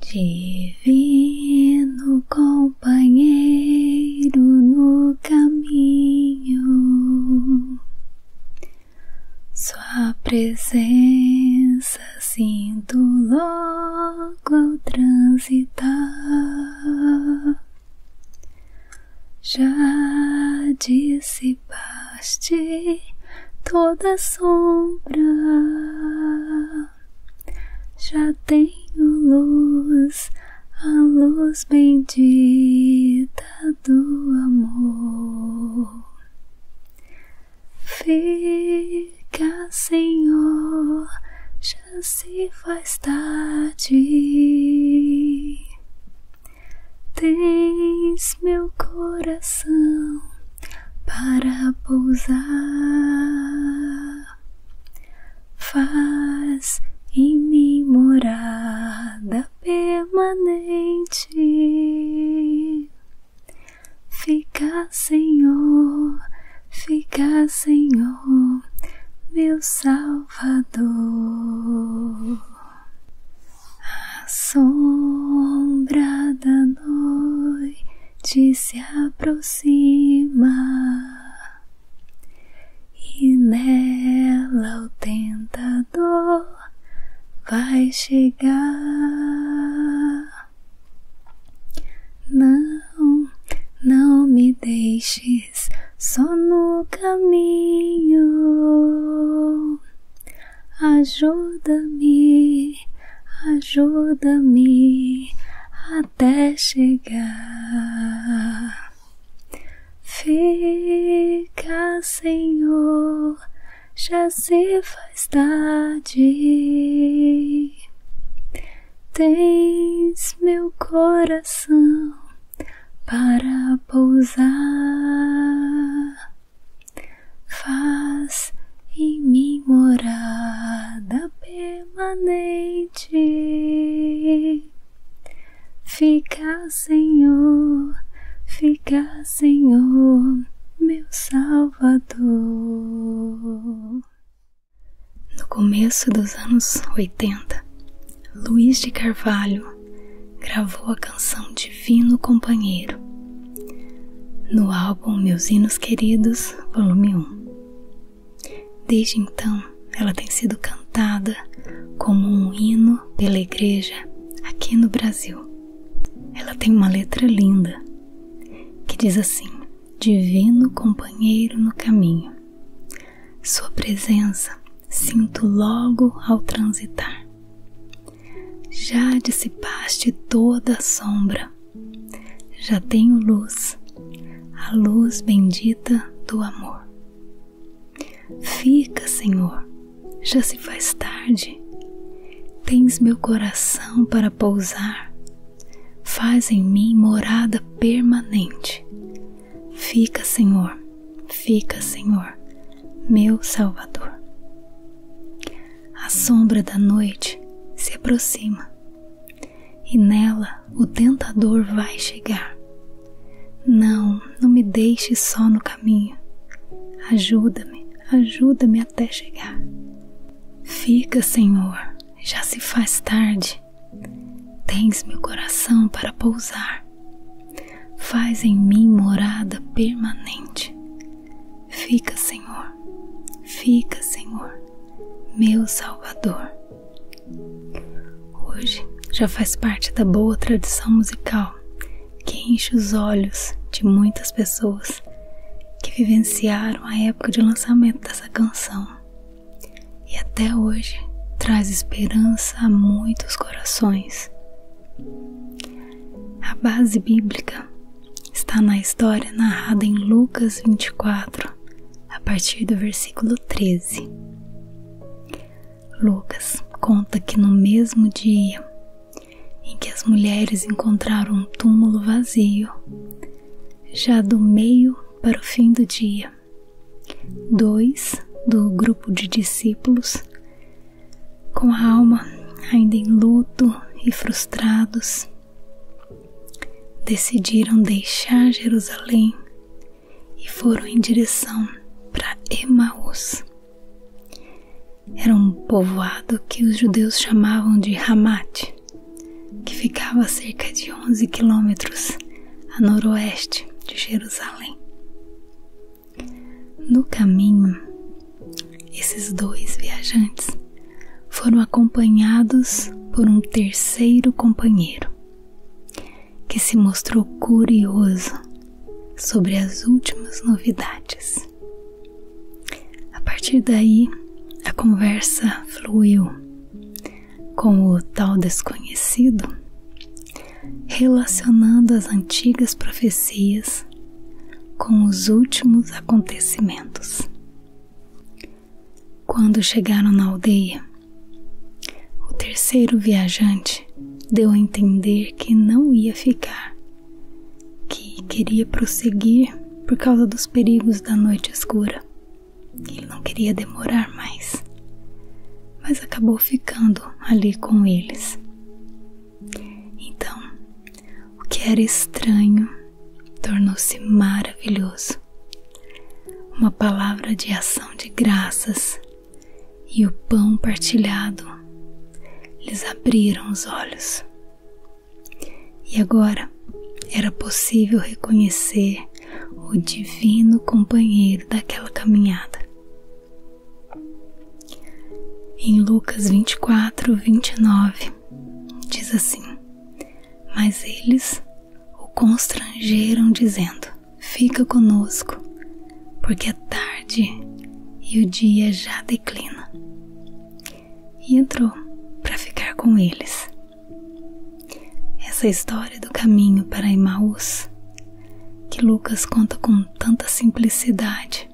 Divino companheiro no caminho, Sua presença sinto logo ao transitar. Já dissipaste toda sombra já tenho luz, a luz bendita do amor. Fica, Senhor, já se faz tarde. Tens meu coração para pousar. Faz em mim morada permanente. Fica, Senhor, fica, Senhor, meu Salvador. A sombra da noite te se aproxima e nela o tentador vai chegar. Não, não me deixes só no caminho. Ajuda-me ajuda-me até chegar. Fica, Senhor, já se faz tarde. Tens meu coração para pousar. Faz em mim morada permanente. Fica, Senhor, fica, Senhor, meu Salvador. No começo dos anos 80, Luiz de Carvalho gravou a canção Divino Companheiro no álbum Meus Hinos Queridos, volume 1. Desde então, ela tem sido cantada como um hino pela igreja aqui no Brasil. Ela tem uma letra linda que diz assim: Divino companheiro no caminho, Sua presença sinto logo ao transitar. Já dissipaste toda a sombra já tenho luz, a luz bendita do amor. Fica, Senhor, já se faz tarde. Tens meu coração para pousar. Faz em mim morada permanente. Fica, Senhor, fica, Senhor, meu Salvador a sombra da noite se aproxima e nela o tentador vai chegar. Não, não me deixe só no caminho. Ajuda-me, ajuda-me até chegar. Fica, Senhor, já se faz tarde. Tens meu coração para pousar. Faz em mim morada permanente. Fica, Senhor, fica, Senhor, meu Salvador. Hoje já faz parte da boa tradição musical que enche os olhos de muitas pessoas que vivenciaram a época de lançamento dessa canção e até hoje traz esperança a muitos corações. A base bíblica está na história narrada em Lucas 24, a partir do versículo 13. Lucas conta que no mesmo dia em que as mulheres encontraram um túmulo vazio, já do meio para o fim do dia, dois do grupo de discípulos, com a alma ainda em luto e frustrados, decidiram deixar Jerusalém e foram em direção para Emaús. Era um povoado que os judeus chamavam de Hamat, que ficava a cerca de 11 quilômetros a noroeste de Jerusalém. No caminho, esses dois viajantes foram acompanhados por um terceiro companheiro que se mostrou curioso sobre as últimas novidades. A partir daí, a conversa fluiu com o tal desconhecido, relacionando as antigas profecias com os últimos acontecimentos. Quando chegaram na aldeia, o terceiro viajante deu a entender que não ia ficar, que queria prosseguir por causa dos perigos da noite escura. Ele não queria demorar mais, mas acabou ficando ali com eles. Então, o que era estranho tornou-se maravilhoso. Uma palavra de ação de graças e o pão partilhado lhes abriram os olhos. E agora era possível reconhecer o divino companheiro daquela caminhada. Em Lucas 24, 29, diz assim. Mas eles o constrangeram, dizendo: Fica conosco, porque é tarde e o dia já declina. E entrou para ficar com eles. Essa é história do caminho para Emmaus que Lucas conta com tanta simplicidade,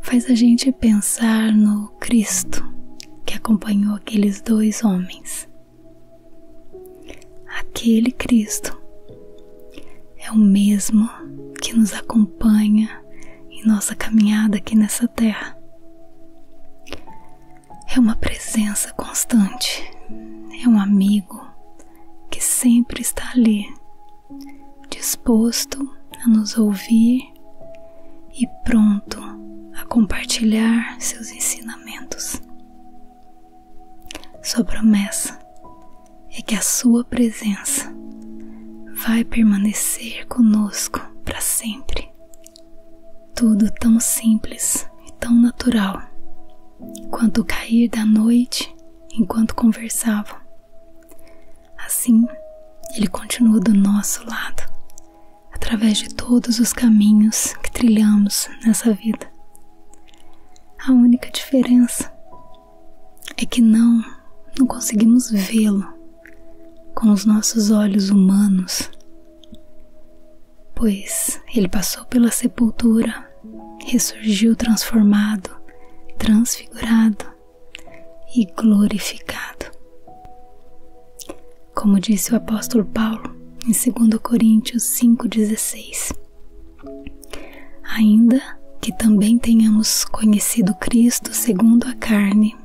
faz a gente pensar no Cristo que acompanhou aqueles dois homens. Aquele Cristo é o mesmo que nos acompanha em nossa caminhada aqui nessa terra. É uma presença constante, é um amigo que sempre está ali, disposto a nos ouvir e pronto a compartilhar seus ensinamentos. Sua promessa é que a sua presença vai permanecer conosco para sempre. Tudo tão simples e tão natural, quanto o cair da noite enquanto conversavam Assim, ele continua do nosso lado, através de todos os caminhos que trilhamos nessa vida. A única diferença é que não, não conseguimos vê-lo com os nossos olhos humanos, pois ele passou pela sepultura, ressurgiu transformado, transfigurado e glorificado. Como disse o apóstolo Paulo em 2 Coríntios 5,16: Ainda que também tenhamos conhecido Cristo segundo a carne,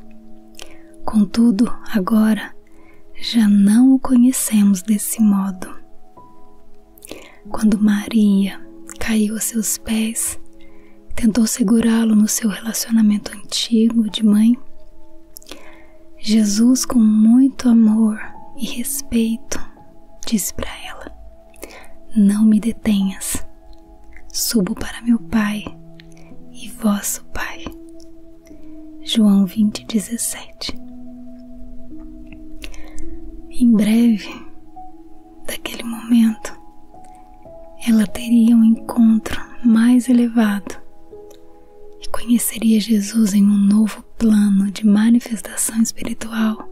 contudo, agora já não o conhecemos desse modo. Quando Maria caiu a seus pés, tentou segurá-lo no seu relacionamento antigo de mãe. Jesus, com muito amor e respeito, disse para ela: Não me detenhas. Subo para meu Pai e vosso Pai. João 20, 17. Em breve, daquele momento, ela teria um encontro mais elevado e conheceria Jesus em um novo plano de manifestação espiritual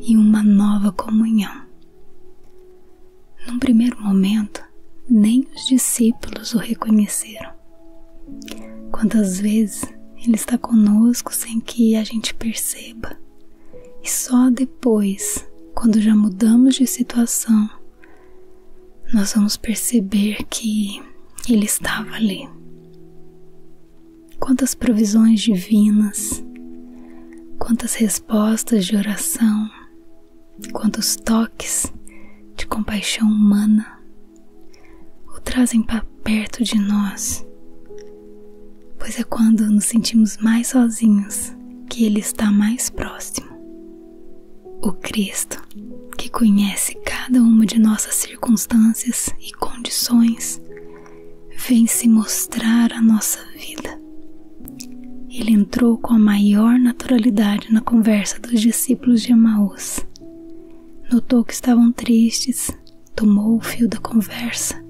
e uma nova comunhão. Num primeiro momento, nem os discípulos o reconheceram. Quantas vezes ele está conosco sem que a gente perceba? e só depois, quando já mudamos de situação, nós vamos perceber que ele estava ali. Quantas provisões divinas, quantas respostas de oração, quantos toques de compaixão humana o trazem para perto de nós, pois é quando nos sentimos mais sozinhos que Ele está mais próximo. O Cristo, que conhece cada uma de nossas circunstâncias e condições, vem se mostrar a nossa vida. Ele entrou com a maior naturalidade na conversa dos discípulos de Emaús. Notou que estavam tristes, tomou o fio da conversa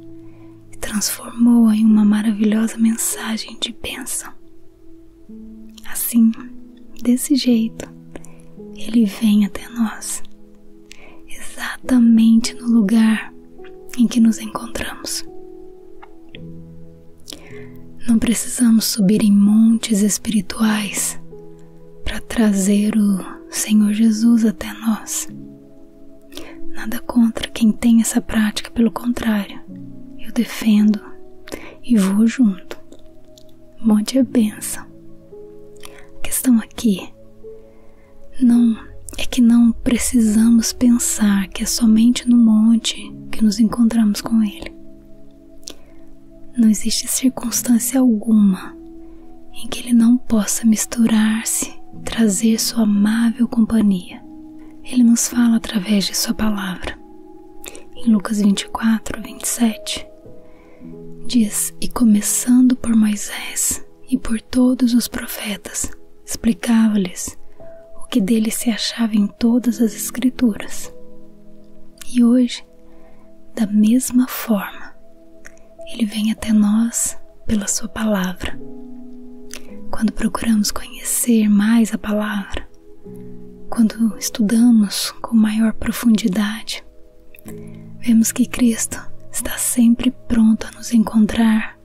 e transformou-a em uma maravilhosa mensagem de bênção. Assim, desse jeito, ele vem até nós, exatamente no lugar em que nos encontramos. Não precisamos subir em montes espirituais para trazer o Senhor Jesus até nós. Nada contra quem tem essa prática, pelo contrário, eu defendo e vou junto. Monte é benção. A questão aqui não é que não precisamos pensar que é somente no monte que nos encontramos com ele. Não existe circunstância alguma em que ele não possa misturar-se, trazer sua amável companhia ele nos fala através de Sua palavra. Em Lucas 24, 27, diz: E começando por Moisés e por todos os profetas, explicava-lhes o que dele se achava em todas as Escrituras. E hoje, da mesma forma, ele vem até nós pela Sua palavra. Quando procuramos conhecer mais a palavra, quando estudamos com maior profundidade, vemos que Cristo está sempre pronto a nos encontrar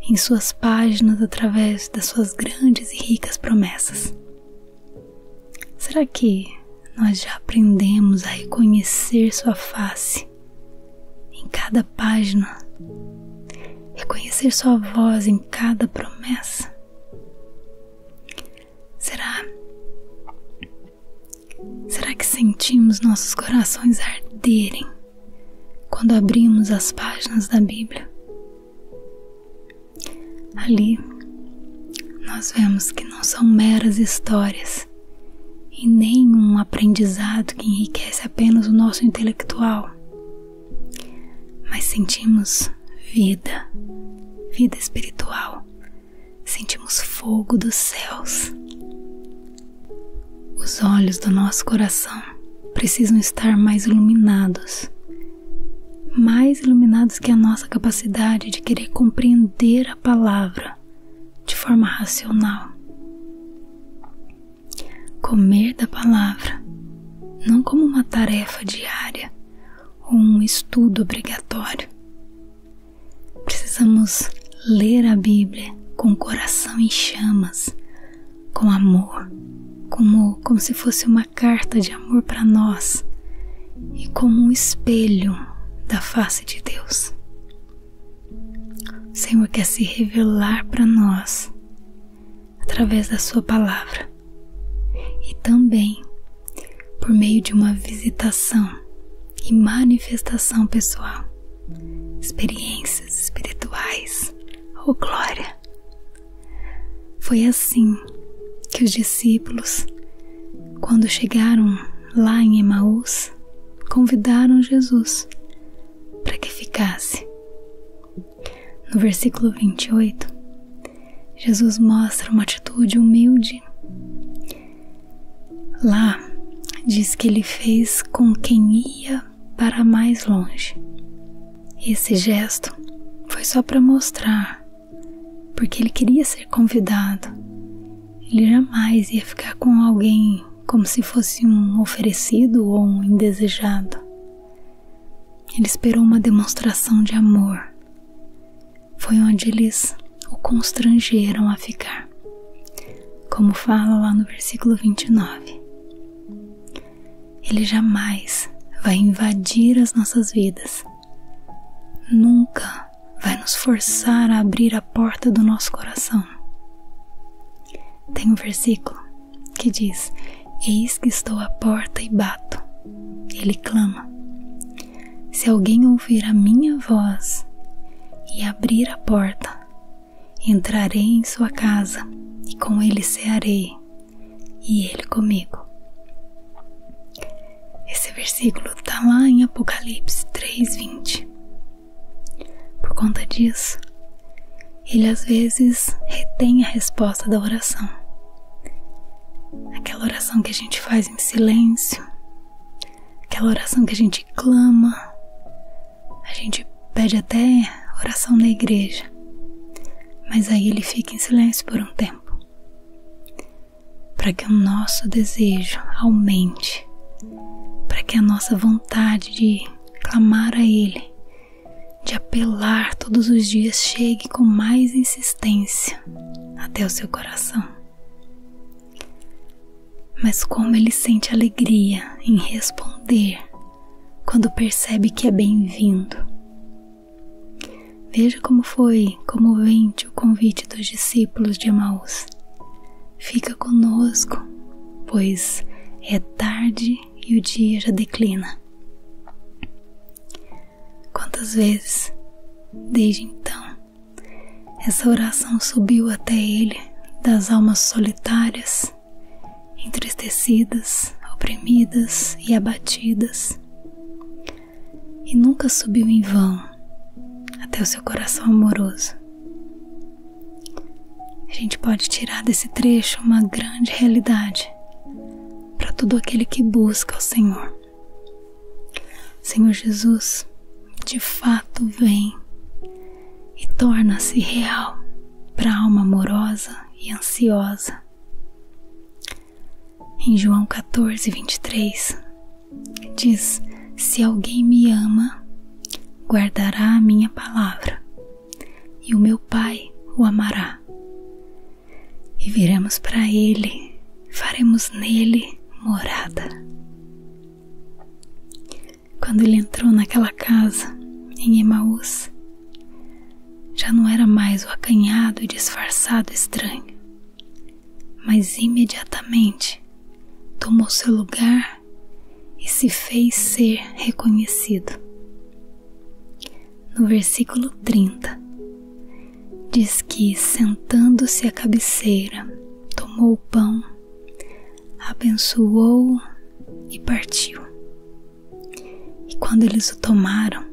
em suas páginas através das suas grandes e ricas promessas. Será que nós já aprendemos a reconhecer sua face em cada página, reconhecer sua voz em cada promessa? Será? Será que sentimos nossos corações arderem quando abrimos as páginas da Bíblia? Ali, nós vemos que não são meras histórias e nem um aprendizado que enriquece apenas o nosso intelectual, mas sentimos vida, vida espiritual, sentimos fogo dos céus. Os olhos do nosso coração precisam estar mais iluminados, mais iluminados que a nossa capacidade de querer compreender a palavra de forma racional. Comer da palavra, não como uma tarefa diária ou um estudo obrigatório. Precisamos ler a Bíblia com o coração em chamas, com amor, como, como se fosse uma carta de amor para nós e como um espelho da face de Deus. O Senhor quer se revelar para nós através da Sua palavra e também por meio de uma visitação e manifestação pessoal, experiências espirituais. ou glória! Foi assim que os discípulos, quando chegaram lá em Emaús, convidaram Jesus para que ficasse no versículo 28, Jesus mostra uma atitude humilde. Lá diz que ele fez com quem ia para mais longe. Esse gesto foi só para mostrar, porque ele queria ser convidado. Ele jamais ia ficar com alguém como se fosse um oferecido ou um indesejado. Ele esperou uma demonstração de amor. Foi onde eles o constrangeram a ficar, como fala lá no versículo 29. Ele jamais vai invadir as nossas vidas, nunca vai nos forçar a abrir a porta do nosso coração tem um versículo que diz: Eis que estou à porta e bato. Ele clama. Se alguém ouvir a minha voz e abrir a porta, entrarei em sua casa e com ele cearei, e ele comigo. Esse versículo está lá em Apocalipse 3:20. Por conta disso, ele às vezes retém a resposta da oração. Aquela oração que a gente faz em silêncio, aquela oração que a gente clama, a gente pede até oração na igreja, mas aí ele fica em silêncio por um tempo para que o nosso desejo aumente, para que a nossa vontade de clamar a Ele de apelar todos os dias chegue com mais insistência até o seu coração. Mas como ele sente alegria em responder quando percebe que é bem-vindo. Veja como foi comovente o convite dos discípulos de Emaús. Fica conosco, pois é tarde e o dia já declina. Quantas vezes, desde então, essa oração subiu até ele das almas solitárias, entristecidas, oprimidas e abatidas, e nunca subiu em vão até o seu coração amoroso, a gente pode tirar desse trecho uma grande realidade para todo aquele que busca o Senhor. Senhor Jesus de fato vem e torna-se real para a alma amorosa e ansiosa. Em João 14, 23, diz: Se alguém me ama, guardará a minha palavra, e o meu Pai o amará. E viremos para ele, faremos nele morada. Quando ele entrou naquela casa em Emmaus já não era mais o acanhado e disfarçado estranho, mas imediatamente tomou seu lugar e se fez ser reconhecido. No versículo 30, diz que, sentando-se à cabeceira, tomou o pão, abençoou e partiu. E quando eles o tomaram,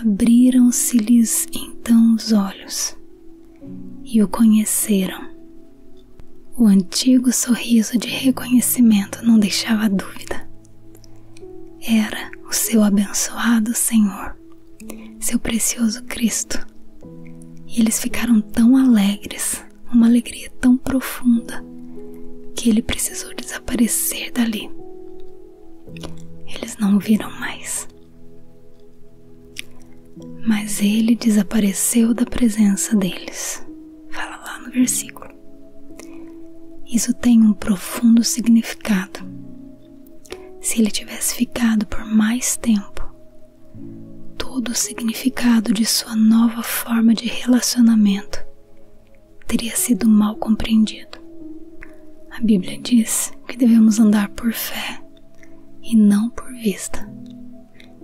abriram-se-lhes então os olhos e o conheceram o antigo sorriso de reconhecimento não deixava dúvida. Era o seu abençoado Senhor, seu precioso Cristo. E eles ficaram tão alegres, uma alegria tão profunda, que ele precisou desaparecer dali. Eles não o viram mais. Mas ele desapareceu da presença deles fala lá no versículo. Isso tem um profundo significado. Se ele tivesse ficado por mais tempo, todo o significado de sua nova forma de relacionamento teria sido mal compreendido. A Bíblia diz que devemos andar por fé e não por vista.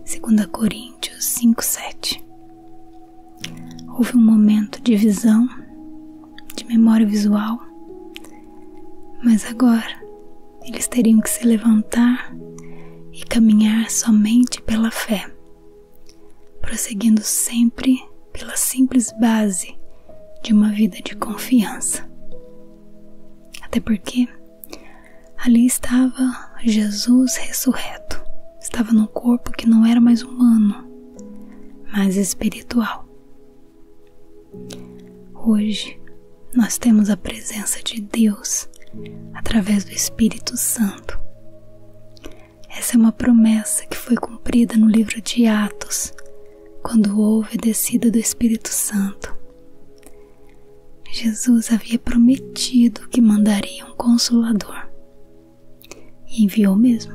2 Coríntios 5,7. Houve um momento de visão, de memória visual, mas agora eles teriam que se levantar e caminhar somente pela fé, prosseguindo sempre pela simples base de uma vida de confiança. Até porque Ali estava Jesus ressurreto. Estava num corpo que não era mais humano, mas espiritual. Hoje nós temos a presença de Deus através do Espírito Santo. Essa é uma promessa que foi cumprida no livro de Atos, quando houve a descida do Espírito Santo. Jesus havia prometido que mandaria um consolador. E enviou mesmo.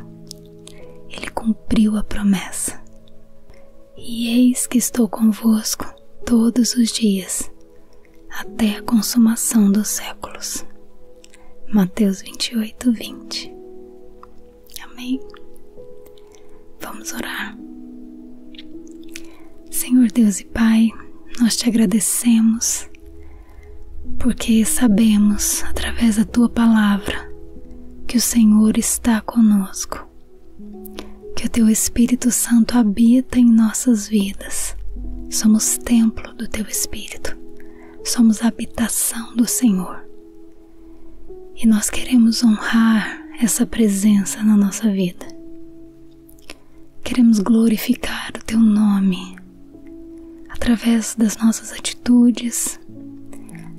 Ele cumpriu a promessa. E eis que estou convosco todos os dias, até a consumação dos séculos. Mateus 28, 20. Amém? Vamos orar. Senhor Deus e Pai, nós te agradecemos porque sabemos através da tua palavra que o Senhor está conosco, que o teu Espírito Santo habita em nossas vidas. Somos templo do teu Espírito, somos habitação do Senhor. E nós queremos honrar essa presença na nossa vida. Queremos glorificar o Teu nome através das nossas atitudes,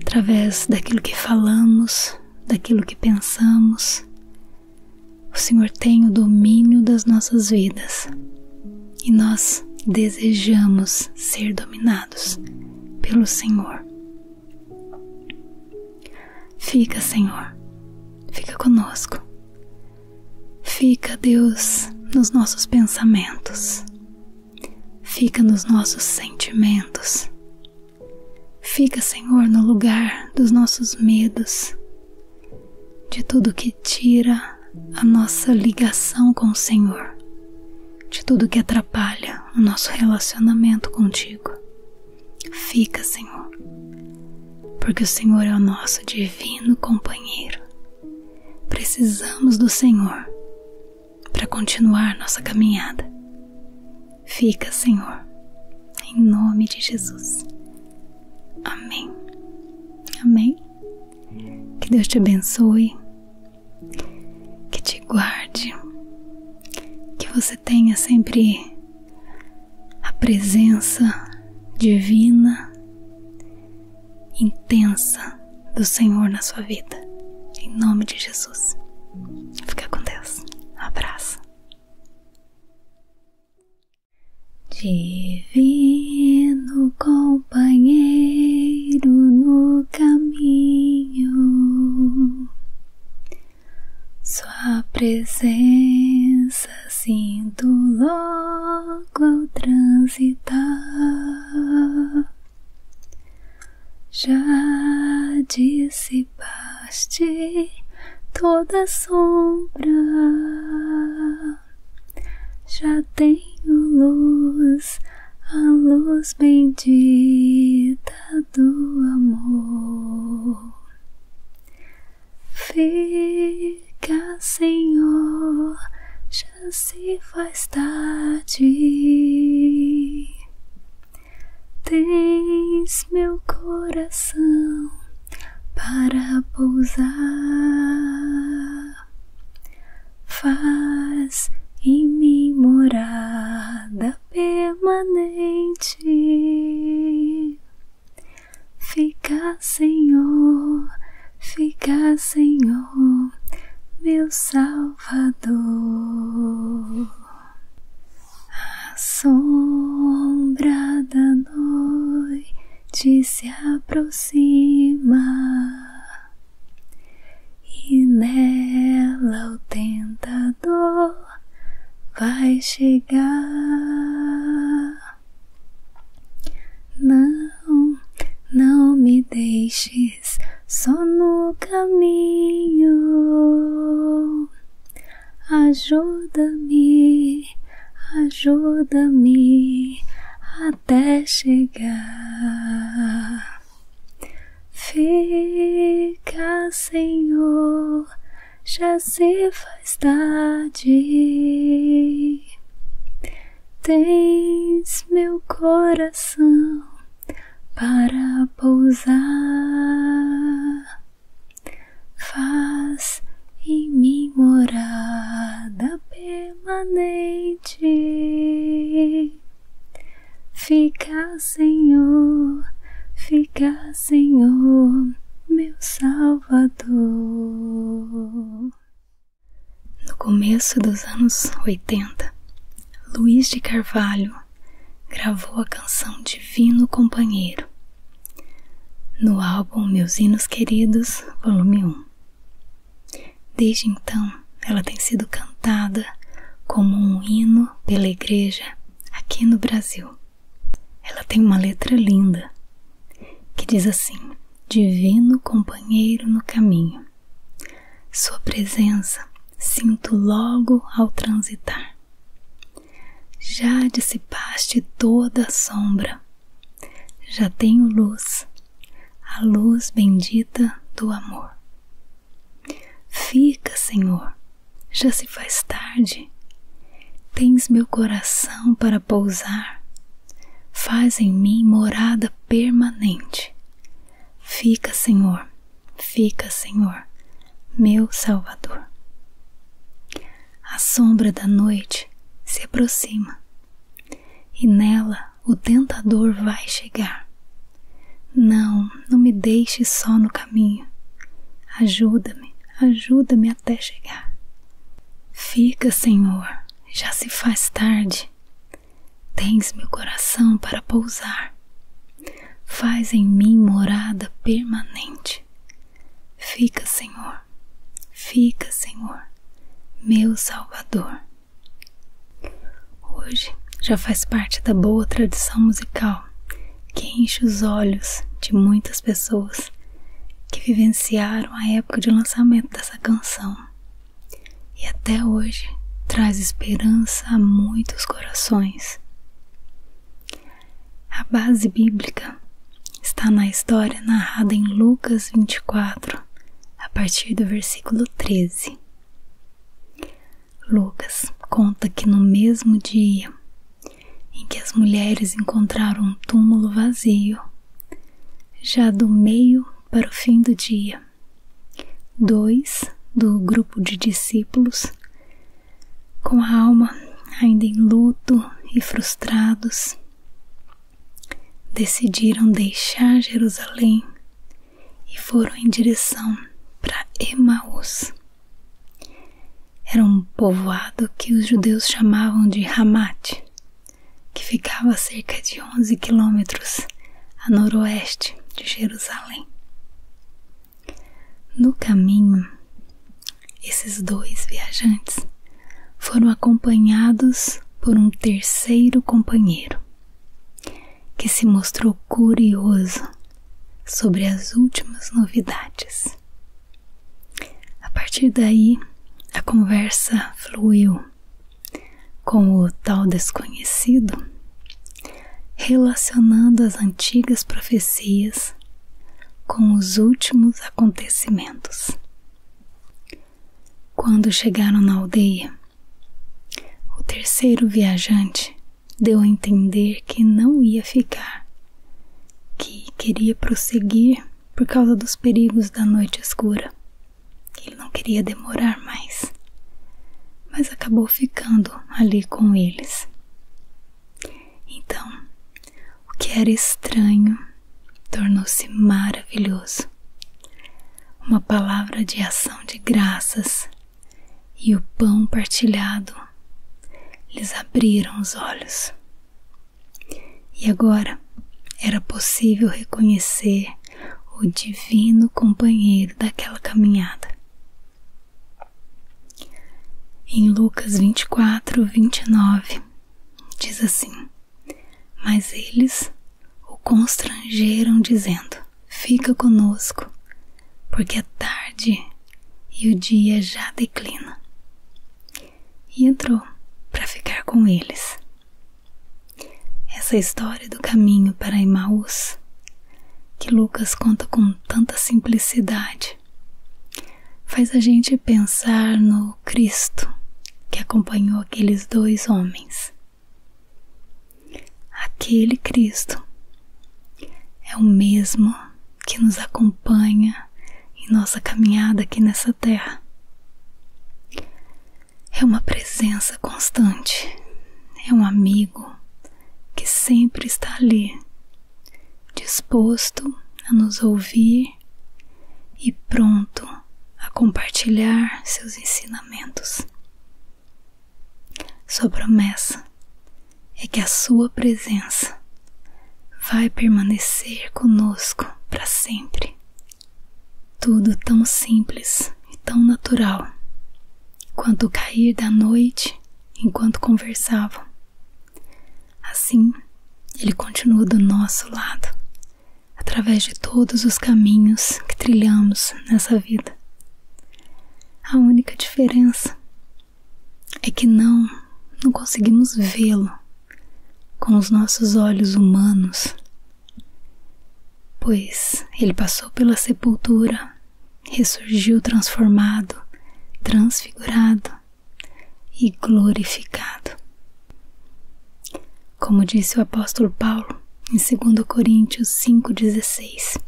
através daquilo que falamos, daquilo que pensamos. O Senhor tem o domínio das nossas vidas e nós desejamos ser dominados pelo Senhor. Fica, Senhor, fica conosco, Fica, Deus, nos nossos pensamentos, fica nos nossos sentimentos, fica, Senhor, no lugar dos nossos medos, de tudo que tira a nossa ligação com o Senhor, de tudo que atrapalha o nosso relacionamento contigo. Fica, Senhor, porque o Senhor é o nosso divino companheiro. Precisamos do Senhor para continuar nossa caminhada. Fica, Senhor, em nome de Jesus. Amém. Amém. Que Deus te abençoe, que te guarde, que você tenha sempre a presença divina intensa do Senhor na sua vida. Em nome de Jesus. Fica com Deus. Um abraço. Divino companheiro no caminho, Sua presença sinto logo ao transitar. Já dissipaste toda sombra, já tenho luz, a luz bendita do amor. Fica, Senhor, já se faz tarde. Tens meu coração para pousar. Faz em mim morada permanente. Fica, Senhor, fica, Senhor, meu Salvador. A sombra da noite se aproxima e nela o tentador vai chegar. Não, não me deixes só no caminho. Ajuda-me, ajuda-me até chegar. Fica, Senhor, já se faz tarde. Tens meu coração para pousar, faz em mim morada permanente. Fica, Senhor, fica, Senhor, meu salvo. Salvador. No começo dos anos 80, Luiz de Carvalho gravou a canção Divino Companheiro no álbum Meus Hinos Queridos, volume 1. Desde então, ela tem sido cantada como um hino pela igreja aqui no Brasil. Ela tem uma letra linda que diz assim: Divino companheiro no caminho, Sua presença sinto logo ao transitar. Já dissipaste toda a sombra, já tenho luz, a luz bendita do amor. Fica, Senhor, já se faz tarde, Tens meu coração para pousar, faz em mim morada permanente. Fica, Senhor, fica, Senhor, meu Salvador. A sombra da noite se aproxima, e nela o tentador vai chegar. Não, não me deixe só no caminho. Ajuda-me, ajuda-me até chegar. Fica, Senhor, já se faz tarde. Tens meu coração para pousar. Faz em mim morada permanente. Fica, Senhor, fica, Senhor, meu Salvador. Hoje já faz parte da boa tradição musical que enche os olhos de muitas pessoas que vivenciaram a época de lançamento dessa canção e até hoje traz esperança a muitos corações. A base bíblica está na história narrada em Lucas 24, a partir do versículo 13. Lucas conta que no mesmo dia em que as mulheres encontraram um túmulo vazio, já do meio para o fim do dia. Dois do grupo de discípulos, com a alma ainda em luto e frustrados, decidiram deixar Jerusalém e foram em direção para Emaús era um povoado que os judeus chamavam de Ramat, que ficava a cerca de 11 quilômetros a noroeste de Jerusalém. No caminho, esses dois viajantes foram acompanhados por um terceiro companheiro, que se mostrou curioso sobre as últimas novidades a partir daí, a conversa fluiu com o tal desconhecido, relacionando as antigas profecias com os últimos acontecimentos. Quando chegaram na aldeia, o terceiro viajante deu a entender que não ia ficar, que queria prosseguir por causa dos perigos da noite escura. Ele não queria demorar mais, mas acabou ficando ali com eles. Então, o que era estranho tornou-se maravilhoso. Uma palavra de ação de graças e o pão partilhado lhes abriram os olhos. E agora era possível reconhecer o divino companheiro daquela caminhada. Em Lucas 24, 29, diz assim: Mas eles o constrangeram, dizendo: Fica conosco, porque é tarde e o dia já declina e entrou para ficar com eles. Essa é história do caminho para Emmaus, que Lucas conta com tanta simplicidade, faz a gente pensar no Cristo que acompanhou aqueles dois homens. Aquele Cristo é o mesmo que nos acompanha em nossa caminhada aqui nessa terra. É uma presença constante, é um amigo que sempre está ali, disposto a nos ouvir e pronto a compartilhar seus ensinamentos. Sua promessa é que a sua presença vai permanecer conosco para sempre. Tudo tão simples e tão natural, quanto o cair da noite enquanto conversavam. Assim, ele continua do nosso lado, através de todos os caminhos que trilhamos nessa vida. A única diferença é que não, não conseguimos vê-lo com os nossos olhos humanos, pois ele passou pela sepultura, ressurgiu transformado, transfigurado e glorificado. Como disse o apóstolo Paulo em 2 Coríntios 5,16: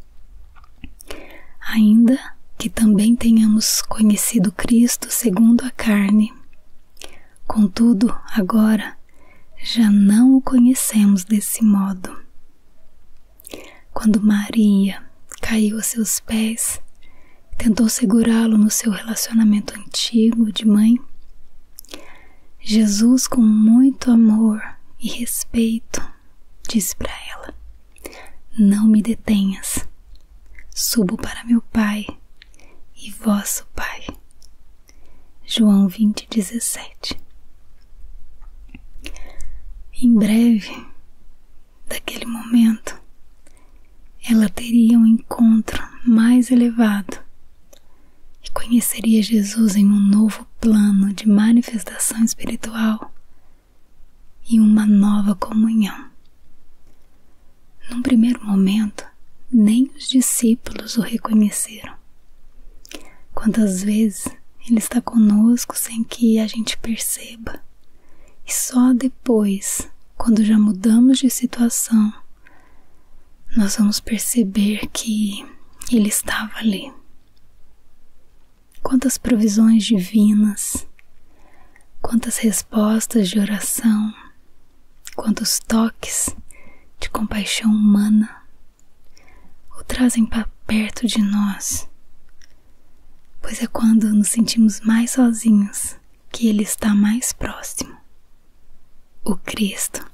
Ainda que também tenhamos conhecido Cristo segundo a carne, Contudo, agora já não o conhecemos desse modo. Quando Maria caiu a seus pés, tentou segurá-lo no seu relacionamento antigo de mãe, Jesus, com muito amor e respeito, disse para ela: Não me detenhas. Subo para meu Pai e vosso Pai. João 20, 17. Em breve, daquele momento, ela teria um encontro mais elevado e conheceria Jesus em um novo plano de manifestação espiritual e uma nova comunhão. Num primeiro momento, nem os discípulos o reconheceram. Quantas vezes ele está conosco sem que a gente perceba, e só depois, quando já mudamos de situação, nós vamos perceber que ele estava ali. Quantas provisões divinas, quantas respostas de oração quando os toques de compaixão humana o trazem para perto de nós, pois é quando nos sentimos mais sozinhos que Ele está mais próximo. O Cristo,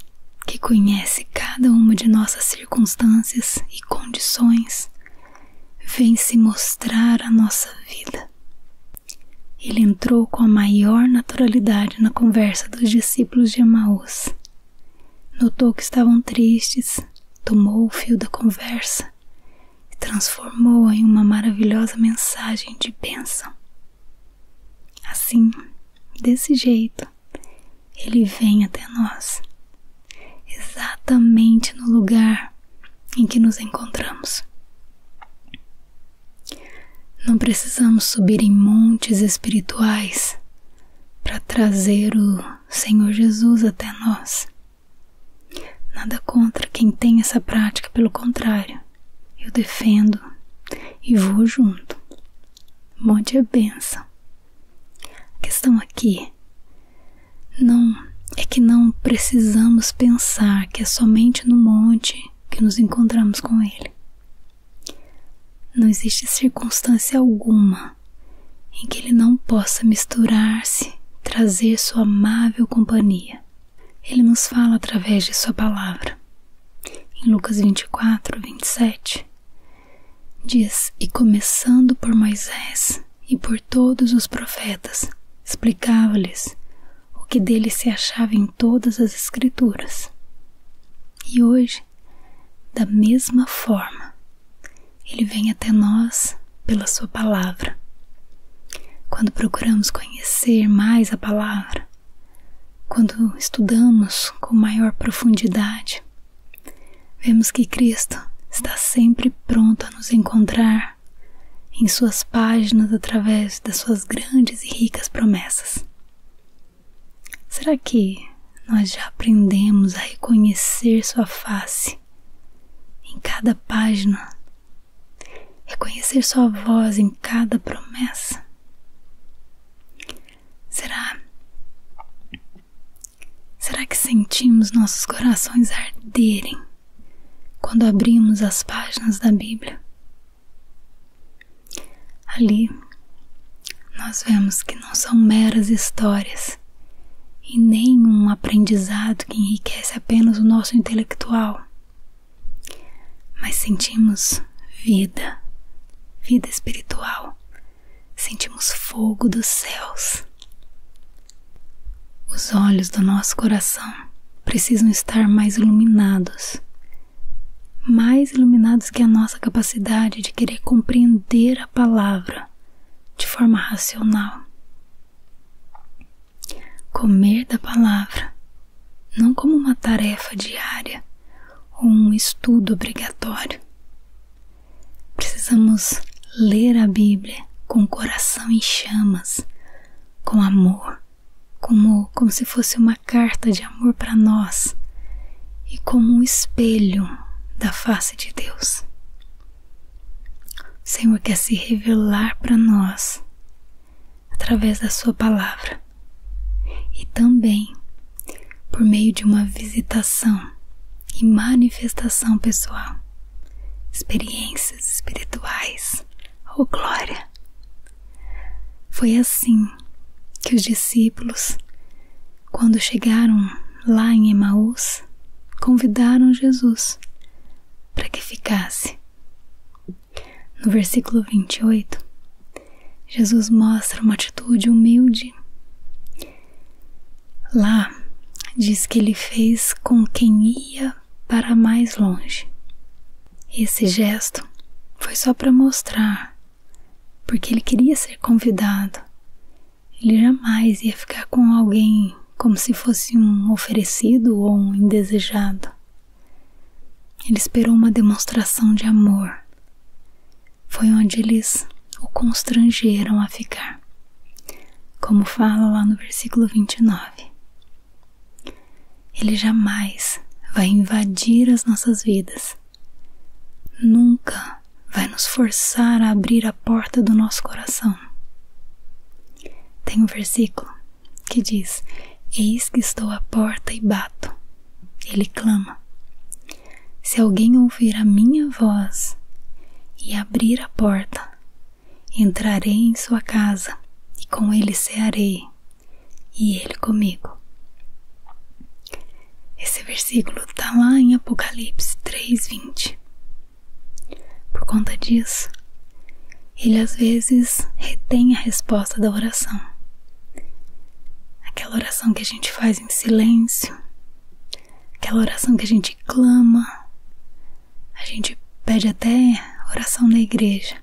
que conhece cada uma de nossas circunstâncias e condições, vem se mostrar a nossa vida ele entrou com a maior naturalidade na conversa dos discípulos de Emaús. Notou que estavam tristes, tomou o fio da conversa e transformou-a em uma maravilhosa mensagem de bênção. Assim, desse jeito, ele vem até nós, exatamente no lugar em que nos encontramos. Não precisamos subir em montes espirituais para trazer o Senhor Jesus até nós. Nada contra quem tem essa prática, pelo contrário, eu defendo e vou junto. Monte é benção. A questão aqui não é que não precisamos pensar que é somente no monte que nos encontramos com Ele. Não existe circunstância alguma em que Ele não possa misturar-se, trazer sua amável companhia. Ele nos fala através de Sua palavra. Em Lucas 24, 27, diz: E começando por Moisés e por todos os profetas, explicava-lhes o que dele se achava em todas as Escrituras. E hoje, da mesma forma, ele vem até nós pela Sua palavra. Quando procuramos conhecer mais a palavra, quando estudamos com maior profundidade, vemos que Cristo está sempre pronto a nos encontrar em suas páginas através das suas grandes e ricas promessas. Será que nós já aprendemos a reconhecer sua face em cada página? Reconhecer sua voz em cada promessa? Será? Será que sentimos nossos corações arderem quando abrimos as páginas da Bíblia. Ali nós vemos que não são meras histórias e nem um aprendizado que enriquece apenas o nosso intelectual, mas sentimos vida, vida espiritual, sentimos fogo dos céus. Os olhos do nosso coração precisam estar mais iluminados mais iluminados que a nossa capacidade de querer compreender a palavra de forma racional. Comer da palavra não como uma tarefa diária ou um estudo obrigatório. Precisamos ler a Bíblia com o coração em chamas, com amor, como como se fosse uma carta de amor para nós e como um espelho da face de Deus. O Senhor quer se revelar para nós através da sua palavra e também por meio de uma visitação e manifestação pessoal experiências espirituais. ou glória! Foi assim que os discípulos, quando chegaram lá em Emaús, convidaram Jesus para que ficasse. No versículo 28, Jesus mostra uma atitude humilde. Lá diz que ele fez com quem ia para mais longe. Esse gesto foi só para mostrar, porque ele queria ser convidado. Ele jamais ia ficar com alguém como se fosse um oferecido ou um indesejado. Ele esperou uma demonstração de amor. Foi onde eles o constrangeram a ficar, como fala lá no versículo 29. Ele jamais vai invadir as nossas vidas. Nunca vai nos forçar a abrir a porta do nosso coração. Tem um versículo que diz: Eis que estou à porta e bato. Ele clama. Se alguém ouvir a minha voz e abrir a porta, Entrarei em sua casa, e com ele cearei, e ele comigo. Esse versículo está lá em Apocalipse 3:20. Por conta disso, ele às vezes retém a resposta da oração. Aquela oração que a gente faz em silêncio, aquela oração que a gente clama, a gente pede até oração na igreja,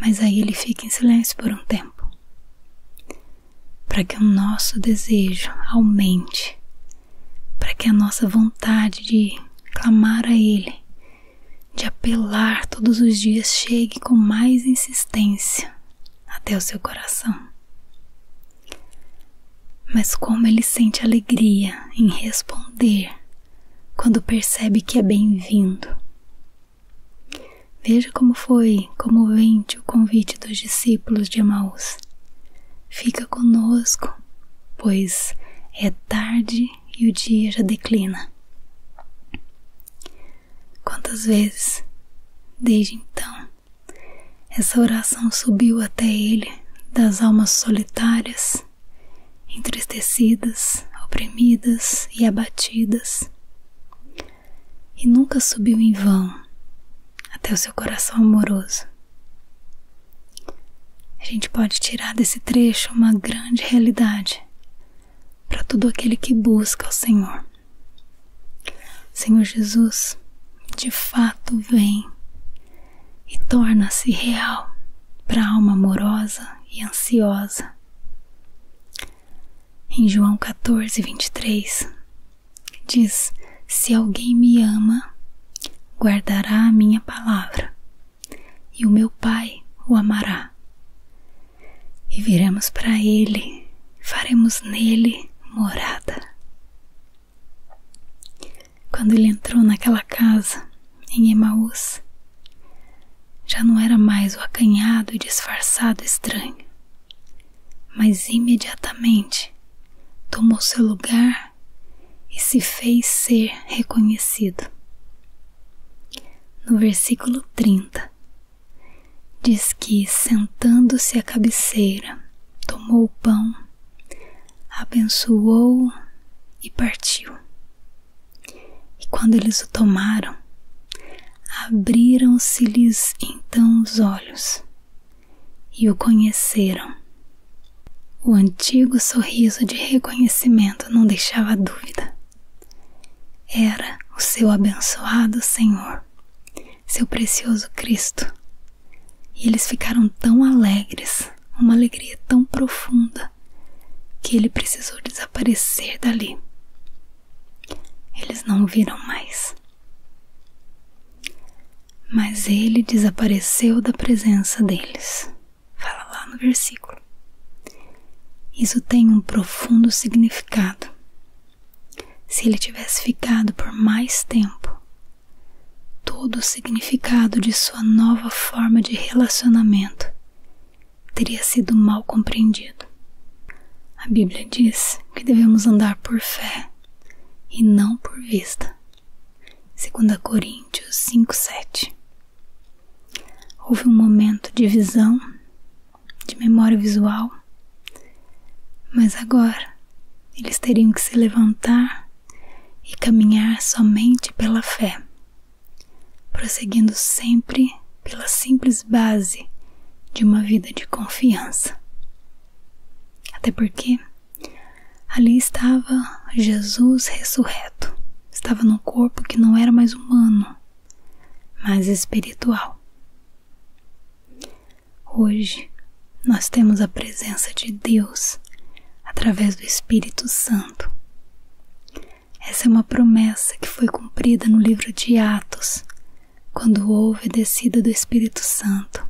mas aí ele fica em silêncio por um tempo para que o nosso desejo aumente, para que a nossa vontade de clamar a Ele, de apelar todos os dias, chegue com mais insistência até o seu coração. Mas como ele sente alegria em responder quando percebe que é bem-vindo. Veja como foi comovente o convite dos discípulos de Emaús. Fica conosco, pois é tarde e o dia já declina. Quantas vezes, desde então, essa oração subiu até ele das almas solitárias entristecidas, oprimidas e abatidas, e nunca subiu em vão até o seu coração amoroso. A gente pode tirar desse trecho uma grande realidade para todo aquele que busca o Senhor. Senhor Jesus, de fato vem e torna-se real para a alma amorosa e ansiosa. Em João 14, 23, diz: Se alguém me ama, guardará a minha palavra, e o meu Pai o amará. E viremos para ele, faremos nele morada quando ele entrou naquela casa em Emaús, já não era mais o acanhado e disfarçado estranho, mas imediatamente tomou seu lugar e se fez ser reconhecido. No versículo 30, diz que, sentando-se à cabeceira, tomou o pão, abençoou e partiu. E quando eles o tomaram, abriram-se-lhes então os olhos e o conheceram. O antigo sorriso de reconhecimento não deixava dúvida. Era o seu abençoado Senhor, seu precioso Cristo. E eles ficaram tão alegres uma alegria tão profunda que ele precisou desaparecer dali. Eles não viram mais. Mas ele desapareceu da presença deles. Fala lá no versículo. Isso tem um profundo significado. Se ele tivesse ficado por mais tempo, todos o significado de sua nova forma de relacionamento teria sido mal compreendido. A Bíblia diz que devemos andar por fé e não por vista. 2 Coríntios 5:7. Houve um momento de visão, de memória visual, mas agora eles teriam que se levantar e caminhar somente pela fé prosseguindo sempre pela simples base de uma vida de confiança. Até porque ali estava Jesus ressurreto, estava num corpo que não era mais humano, mas espiritual. Hoje nós temos a presença de Deus através do Espírito Santo essa é uma promessa que foi cumprida no livro de Atos, quando houve a descida do Espírito Santo.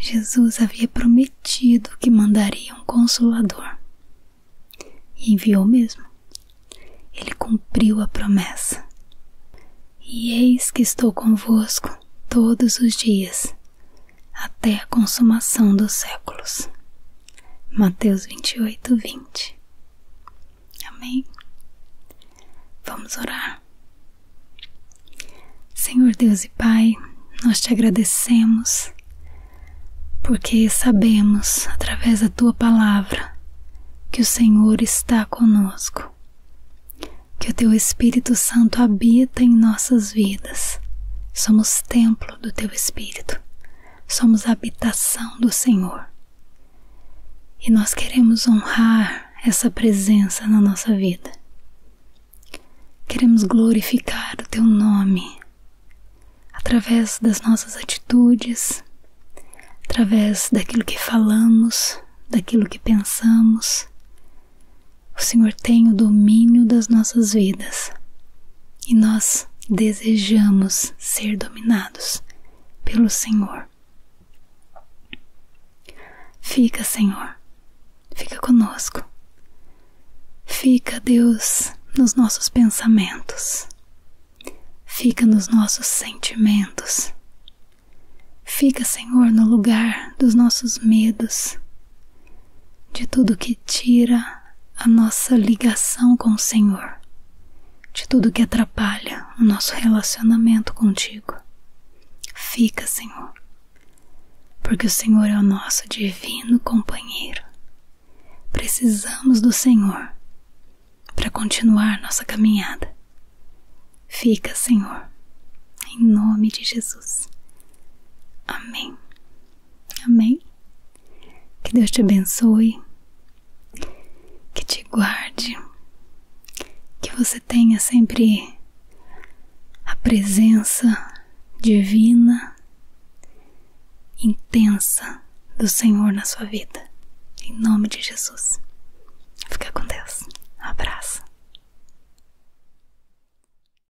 Jesus havia prometido que mandaria um consolador. E enviou mesmo. Ele cumpriu a promessa. E eis que estou convosco todos os dias, até a consumação dos séculos. Mateus 28, 20. Amém? Vamos orar. Senhor Deus e Pai, nós te agradecemos porque sabemos, através da tua palavra, que o Senhor está conosco, que o teu Espírito Santo habita em nossas vidas. Somos templo do teu Espírito, somos a habitação do Senhor. E nós queremos honrar essa presença na nossa vida. Queremos glorificar o teu nome através das nossas atitudes, através daquilo que falamos, daquilo que pensamos, o Senhor tem o domínio das nossas vidas e nós desejamos ser dominados pelo Senhor. Fica, Senhor, fica conosco. Fica, Deus, nos nossos pensamentos. Fica nos nossos sentimentos. Fica, Senhor, no lugar dos nossos medos, de tudo que tira a nossa ligação com o Senhor, de tudo que atrapalha o nosso relacionamento contigo. Fica, Senhor, porque o Senhor é o nosso divino companheiro. Precisamos do Senhor para continuar nossa caminhada. Fica, Senhor, em nome de Jesus. Amém. Amém? Que Deus te abençoe, que te guarde, que você tenha sempre a presença divina, intensa do Senhor na sua vida. Em nome de Jesus. Fica com Deus. abraço.